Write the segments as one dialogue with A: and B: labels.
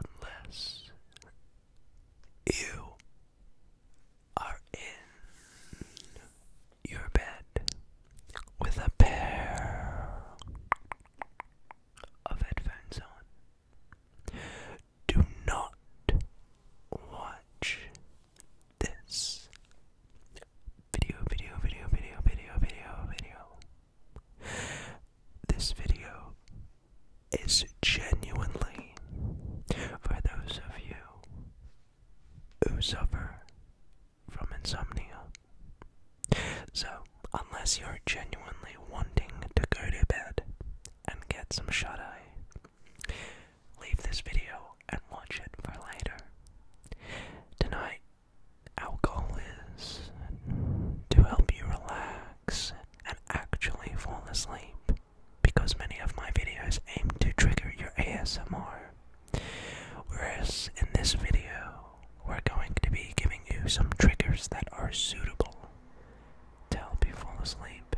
A: Unless you are in your bed with a pair of headphones on, do not watch this video, video, video, video, video, video, video. This video is genuinely for those of you who suffer from insomnia. So, unless you're genuinely wanting to go to bed and get some shut eye, leave this video and watch it for later. Tonight, alcohol is to help you relax and actually fall asleep because many of my videos aim to trigger your ASMR. Whereas in this video, we're going to be giving you some triggers that are suitable to help you fall asleep.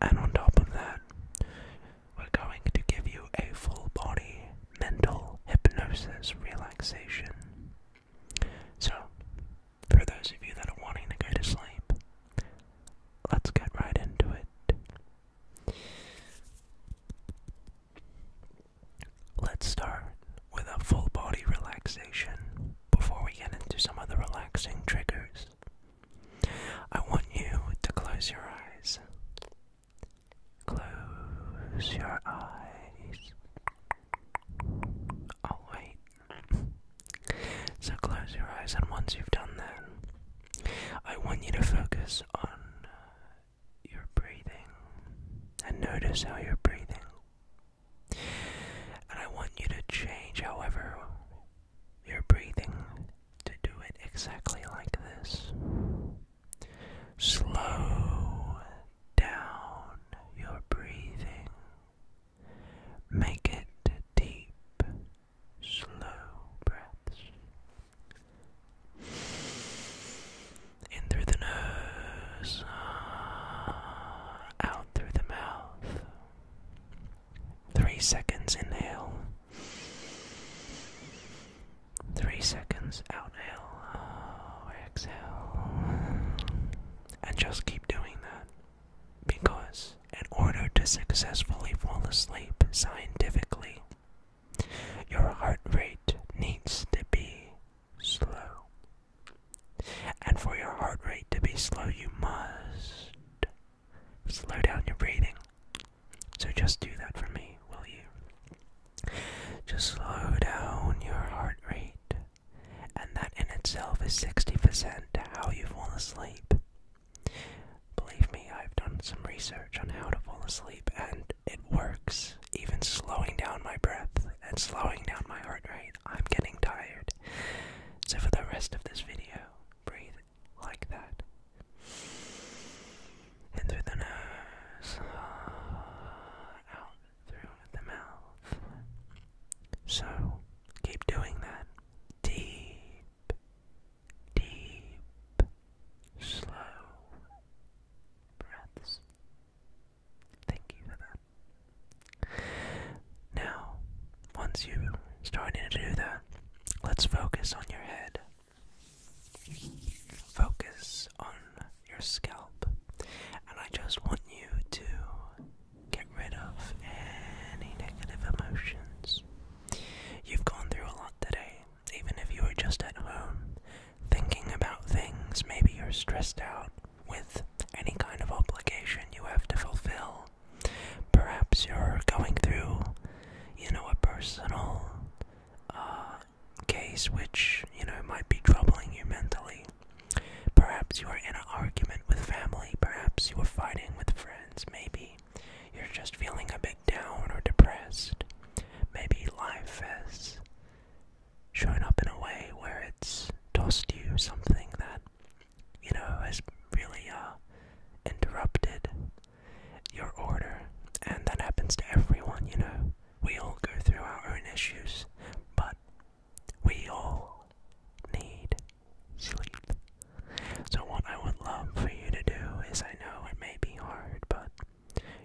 A: And on top of that, we're going to give you a full body mental hypnosis relaxation. So, for those of you that are wanting to go to sleep, let's get right into it. Let's start with a full body relaxation before we get into some of the relaxing triggers. I want you to close your eyes Close your eyes. I'll oh, wait. So close your eyes, and once you've done that, I want you to focus on uh, your breathing and notice how you're breathing. And I want you to change, however, your breathing to do it exactly like this. Slow down your breathing. Make it deep, slow breaths. In through the nose, out through the mouth. Three seconds inhale. Three seconds, outhale, oh, exhale. And just keep doing that. Because, in order to successfully fall asleep scientifically, your heart rate needs to be slow. And for your heart rate to be slow, you must slow down your breathing. So just do that for me, will you? Just slow down your heart rate. And that in itself is 60% to how you fall asleep. Believe me, I've done some research on how to fall asleep, and it works. Even slowing down my breath and slowing down my heart rate, I'm getting tired. So, for the rest of this video, breathe like that. In through the nose, uh, out through the mouth. So keep doing that. Deep, deep, slow breaths. Thank you for that. Now, once you've started to do that, let's focus on your head Focus on your scalp, and I just want you to get rid of any negative emotions. You've gone through a lot today, even if you were just at home thinking about things. Maybe you're stressed out with any kind of obligation you have to fulfill. Perhaps you're going through you know, a personal uh, case which, you know, might be troubling you mentally. Perhaps you are in an argument with family, perhaps you are fighting with friends, maybe you're just feeling a bit down or depressed. Maybe life has shown up in a way where it's tossed you something that, you know, has really uh, interrupted your order, and that happens to everyone, you know. We all go through our own issues, but we all need sleep. So, what I would love for you to do is I know it may be hard, but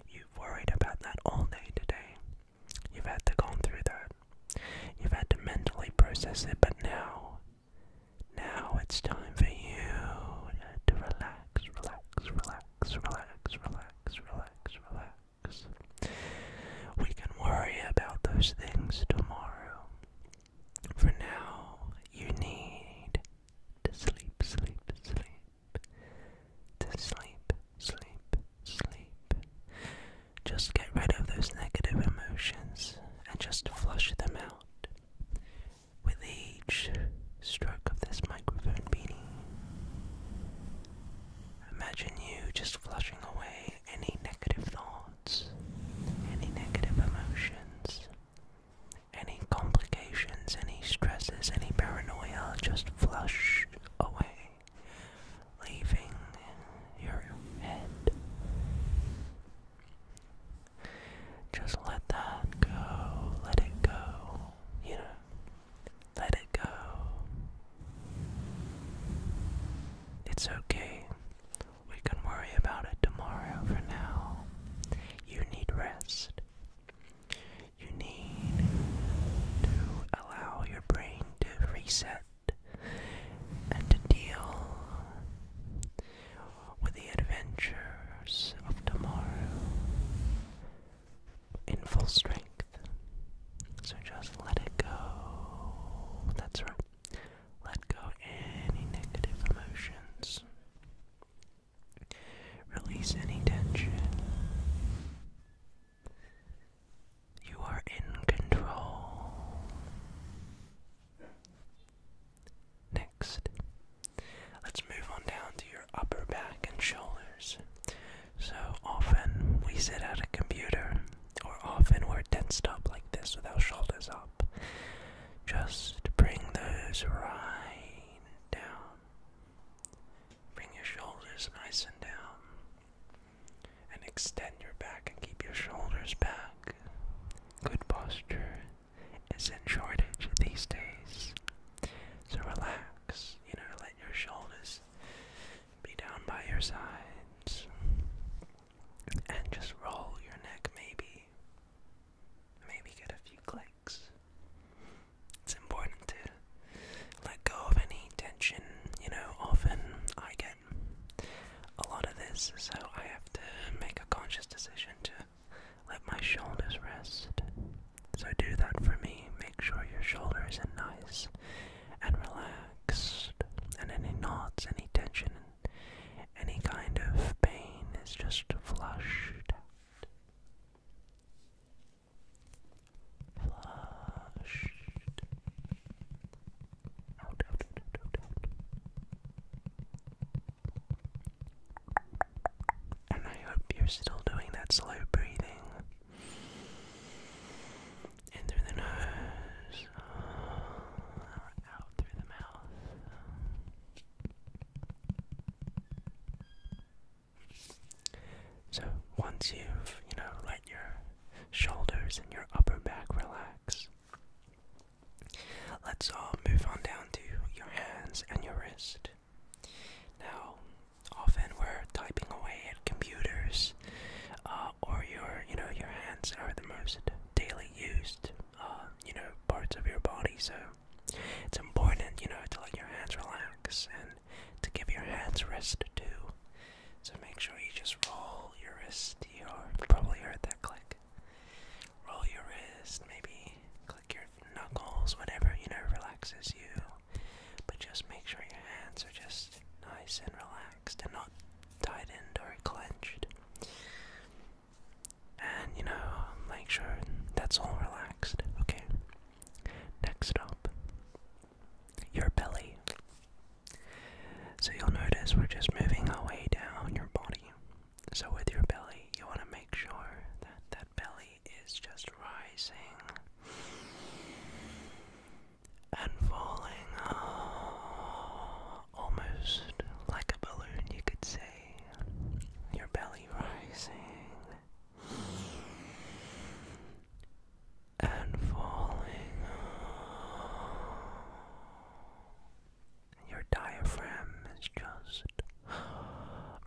A: you've worried about that all day today. You've had to go through that. You've had to mentally process it, but now now it's time for you to relax, relax, relax, relax, relax, relax, relax. We can worry about those things tomorrow. For now, you need to sleep, sleep, sleep. To sleep, sleep, sleep. Just get rid of those negative emotions and just flush them out. With each stroke of this microphone beanie, imagine you just flushing away any negative thoughts, any negative emotions, any complications, any stresses, any paranoia just flushed away, leaving your head just let that go. Let it go. You know, let it go. It's okay. We can worry about it tomorrow for now. You need rest. You need to allow your brain to reset and to deal with the adventures of tomorrow in full strength. So just let it go. That's right. Let go any negative emotions. Release any tension. You are in control. Next, let's move on down to your upper back and shoulders. So often we sit at a computer, or often we're tensed up like this with our shoulders up. Just bring those right down. Bring your shoulders nice and down. And extend your back and keep your shoulders back. Good posture is in shortage these days. So relax, you know, let your shoulders be down by your sides. And just roll your neck, maybe. Maybe get a few clicks. It's important to let go of any tension. You know, often I get a lot of this, so I have to make a conscious decision to let my shoulders rest. So do that for me. Make sure your shoulders are nice and relaxed, and any knots, any tension, any kind of pain is just flushed Flushed Oh, and I hope you're still doing that slow breathing. In through the nose, out through the mouth. So once you've, you know, let your shoulders and your upper back relax, Let's all uh, move on down to your hands and your wrist. Now, often we're typing away at computers, uh, or your, you know, your hands are the most daily used, uh, you know, parts of your body. So it's important, you know, to let your hands relax and to give your hands rest too. So make sure you just roll your wrist. You probably heard that click. Roll your wrist, maybe click your knuckles, whatever, you know, relaxes you. But just make sure your hands are just nice and relaxed and not tightened or clenched. And you know, make sure that's all relaxed, okay? Next up, your belly. So you'll notice we're just moving our way down your body. So with your belly, you want to make sure that that belly is just rising and falling uh, almost like a balloon, you could say. Your belly rising and falling. Your diaphragm is just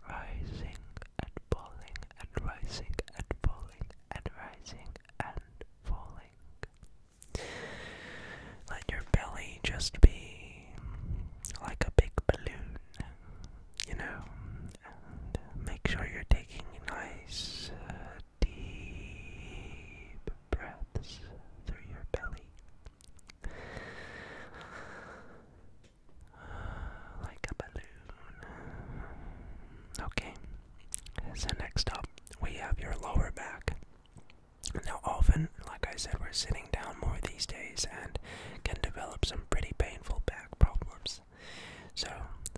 A: rising and falling and rising and falling and rising and falling. Let your belly just be like a big balloon, you know, make sure you're taking nice, uh, deep breaths through your belly. like a balloon. Okay, so next up we have your lower back. Now, often, like I said, we're sitting down more these days and can develop some pretty painful back problems. So,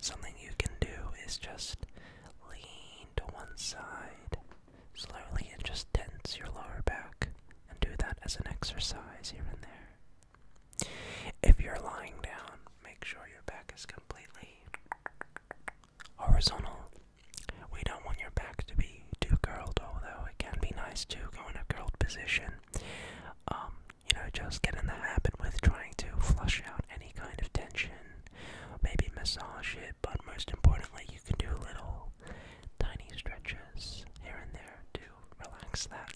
A: something you can do is just lean to one side slowly and just tense your lower back and do that as an exercise here and there. If you're lying down, make sure your back is completely horizontal. We don't want your back to be too curled, although it can be nice to go in a curled position. Um, you know, just get in the habit with trying to flush out any kind of tension maybe massage it, but most importantly, you can do little tiny stretches here and there to relax that.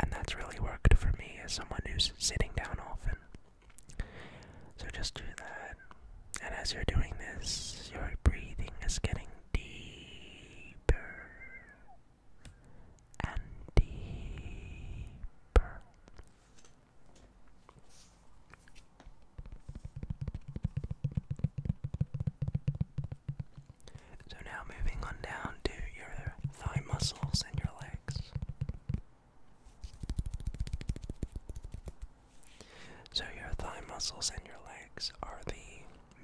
A: And that's really worked for me as someone who's sitting down often. So just do that. And as you're doing this, your breathing is getting deeper and deeper so now moving on down to your thigh muscles and your legs. So your thigh muscles and your legs are the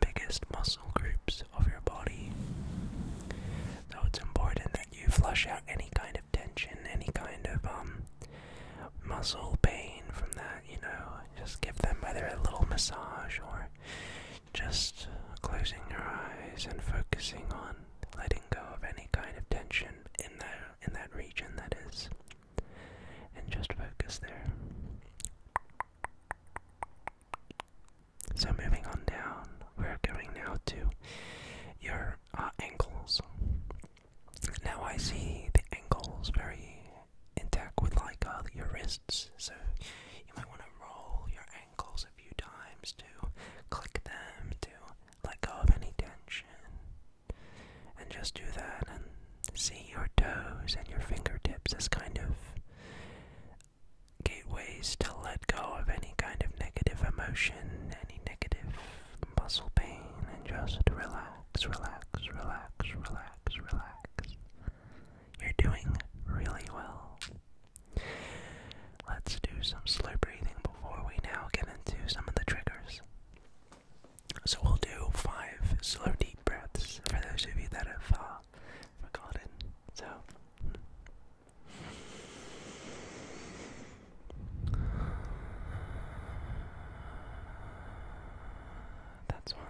A: biggest muscle groups of your body. So it's important you flush out any kind of tension, any kind of um, muscle pain from that, you know, just give them either a little massage or just closing your eyes and focusing on letting go of any kind of tension in that in that region that is and just focus there. So moving on down, we're going now to your their uh, ankles. Now I see the ankles very intact with like uh, your wrists, so you might want to roll your ankles a few times to click them to let go of any tension. And just do that and see your toes and your fingertips as kind of gateways to let go of any kind of negative emotion, any negative muscle pain, and just relax, relax, relax, relax, relax. You're doing really well. Let's do some slow breathing before we now get into some of the triggers. So we'll do five slow deep breaths for those of you that have uh, forgotten. So, hmm. That's one.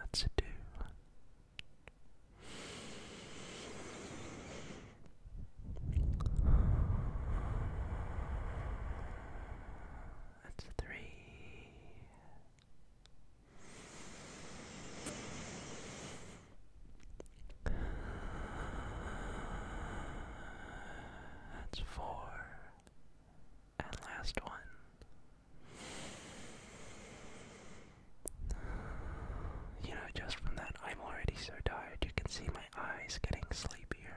A: That's a two. That's three. That's four. And last one. You know, just from that, I'm already so tired. You can see eyes getting sleepier,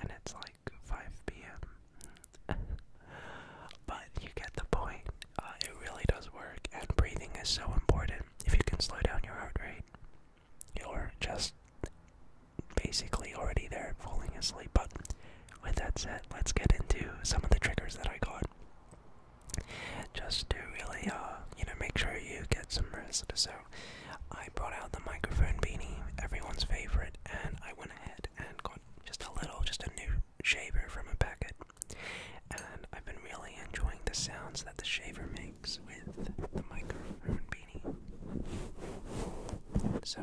A: and it's like 5 p.m. but you get the point. Uh, it really does work, and breathing is so important. If you can slow down your heart rate, you're just basically already there falling asleep. But with that said, let's get into some of the triggers that I got. Just to really, uh, you know, make sure you get some rest. So, I brought out the microphone beanie, everyone's favorite, and I went ahead and got just a little, just a new shaver from a packet. And I've been really enjoying the sounds that the shaver makes with the microphone beanie. So.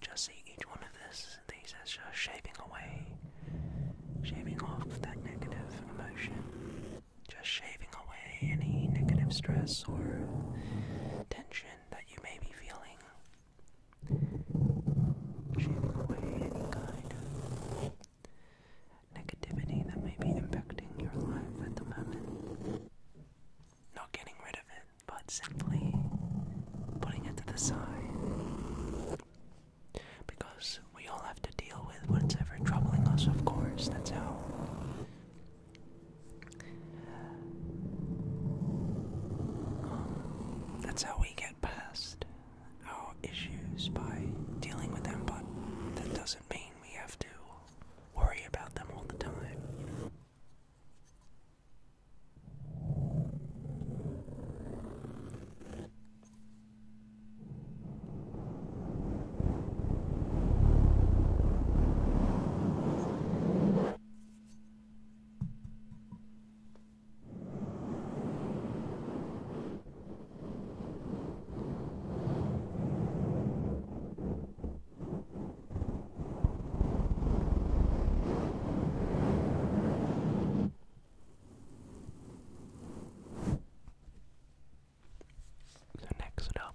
A: Just see each one of this, these as just shaving away, shaving off that negative emotion, just shaving away any negative stress or tension that you may be feeling. Shaving away any kind of negativity that may be impacting your life at the moment. Not getting rid of it, but simply putting it to the side. Because we all have to deal with whatever's troubling us, of course. That's how that's how we get past our issues by dealing with them, but that doesn't mean we have to worry about them all the time. So, next up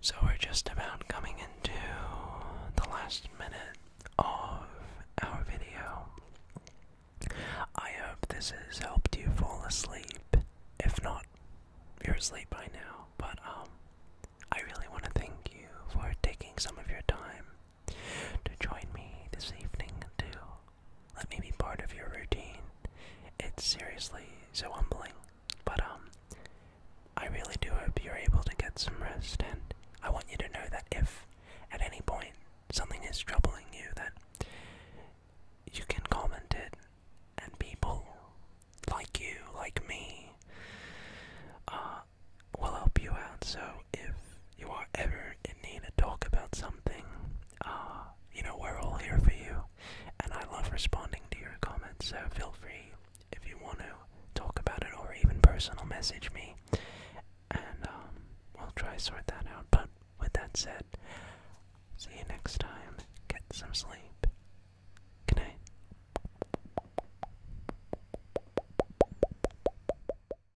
A: So we're just about coming into the last minute of our video. I hope this has helped you fall asleep. If not, you're asleep by now. But um I really want to thank you for taking some of your time to join me this evening to let me be part of your routine. It's seriously so humbling. But um I really do hope you're able to get some rest and I want you to know that if at any point something is troubling you that you can comment it and people like you, like me, uh will help you out. So if you are ever in need to talk about something, uh, you know, we're all here for you. And I love responding to your comments, so feel free if you want to talk about it or even personal message me. And um, we'll try sort that out. But with that said, see you next time. Get some sleep. Good night.